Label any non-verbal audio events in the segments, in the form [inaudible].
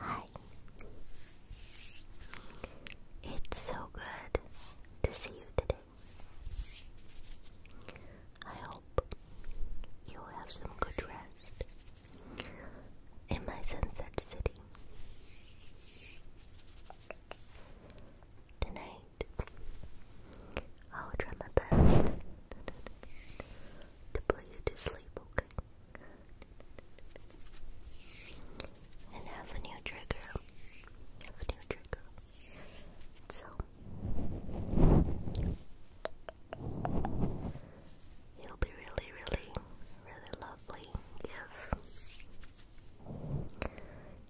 Hi. It's so good to see you today. I hope you have some good rest in my sunset city. Tonight, I'll try my best to put you to sleep, okay? And have a new trigger. Have a new trigger. So it'll be really, really, really lovely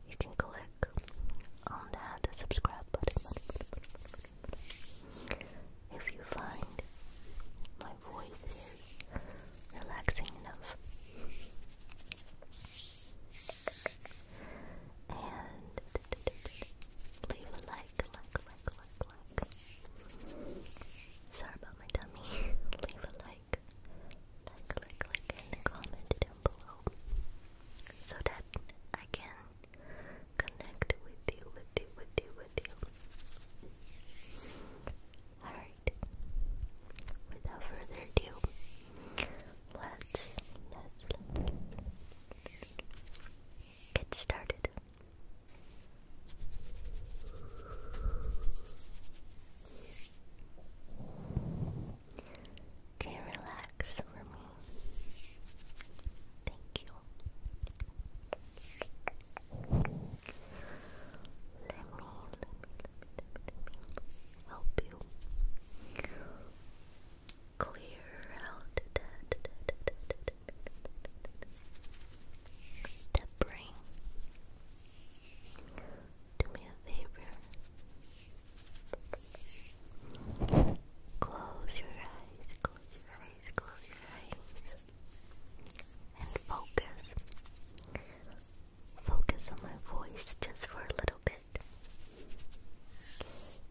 if you can click on that subscribe button. If you find my voice relaxing enough and leave a like, like, like, like, like. Sorry about my tummy. [laughs] leave a like, like, like, like, and comment down below so that I can connect with you, with you, with you, with you. Alright, without further ado, let's, get started. Okay, relax for me. Thank you. Let me, let me, help you clear out that, brain. Do me a favor. Close your eyes, close your eyes, close your eyes, and focus focus on my voice just for a little bit.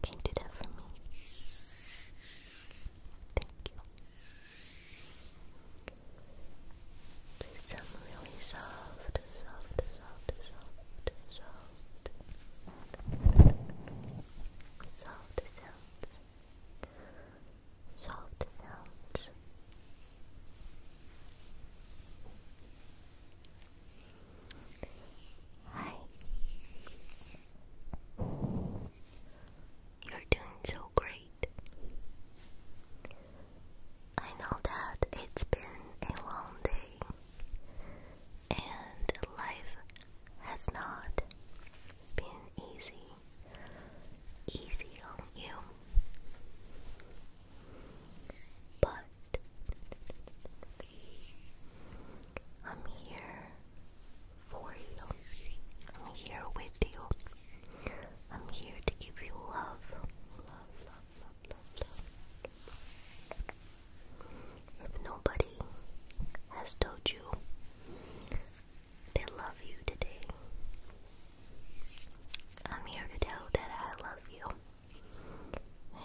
Can do that for me? Thank you. Please sound really soft, soft, soft, soft, soft. Soft sounds. Soft sounds. Hi. You're doing so great. I know that it's been a long day and life has not been easy. Easy on you. But I'm here for you. I'm here with you. I'm here to give you love. Love, love, love, love, love. If nobody has told you they love you today, I'm here to tell that I love you. And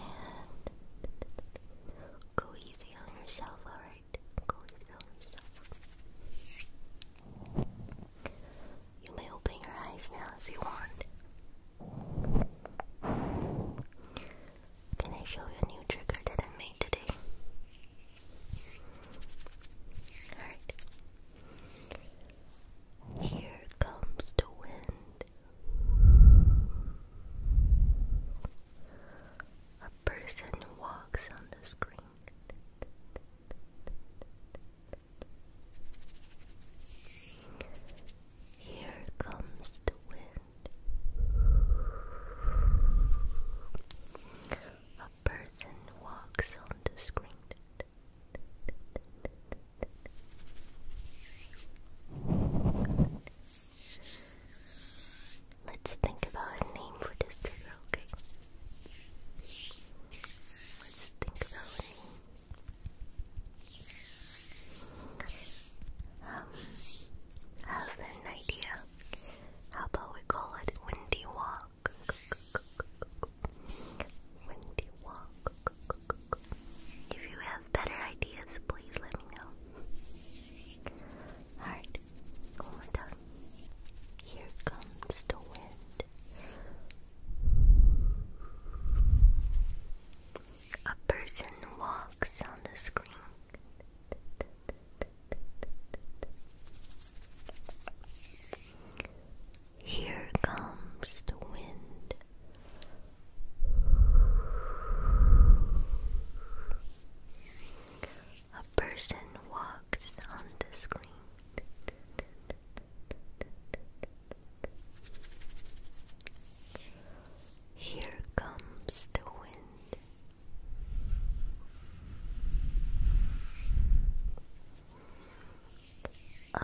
go easy on yourself, alright? Go easy on yourself. You may open your eyes now if you want. Can I show you a new trigger that I made today? Alright. Here comes the wind. A person walks on the screen. Here comes the wind. A person walks on the screen. Let's think about a name for this trigger, okay? Let's think about a Um, have an idea. How about we call it Windy Walk? Windy Walk. If you have better ideas, please let me know. Alright, one more time. Here comes the wind. A person walks on the screen. Here comes the wind. A person walks on the screen. Here comes the wind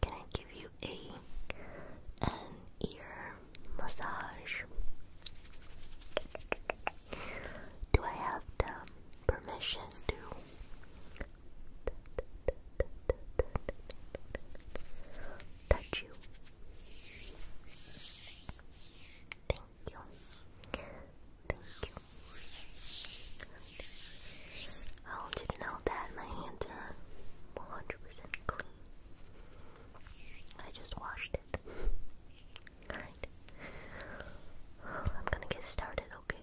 can I give you a an ear massage? Do I have the permission to? Touch you. Thank you. Thank you. I want you to know that my hands are 100% clean. I just washed it. Alright. I'm gonna get started, okay?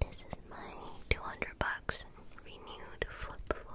This is my 200 bucks renewed flip phone.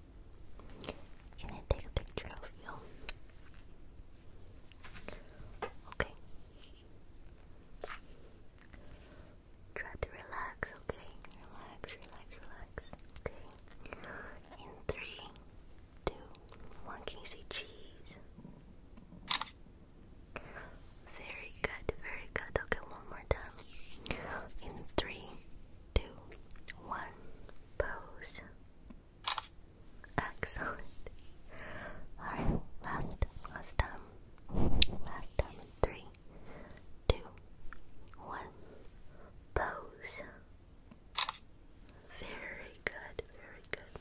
Can I take a picture of you? Okay. Try to relax, okay? Relax, relax, relax. Okay. In three, two, one, can you say cheese? Very good, very good. Okay, one more time. In three, two, one, pose. Excellent. Alright, last, last time. Last time three, two, one, pose. Very good, very good.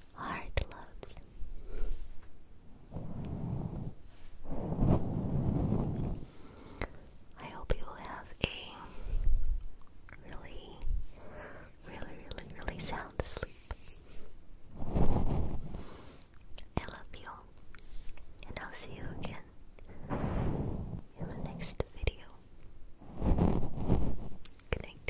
Heart loves. I hope you have a really, really, really, really sound sleep. I love you, and I'll see you again in the next video. Good night.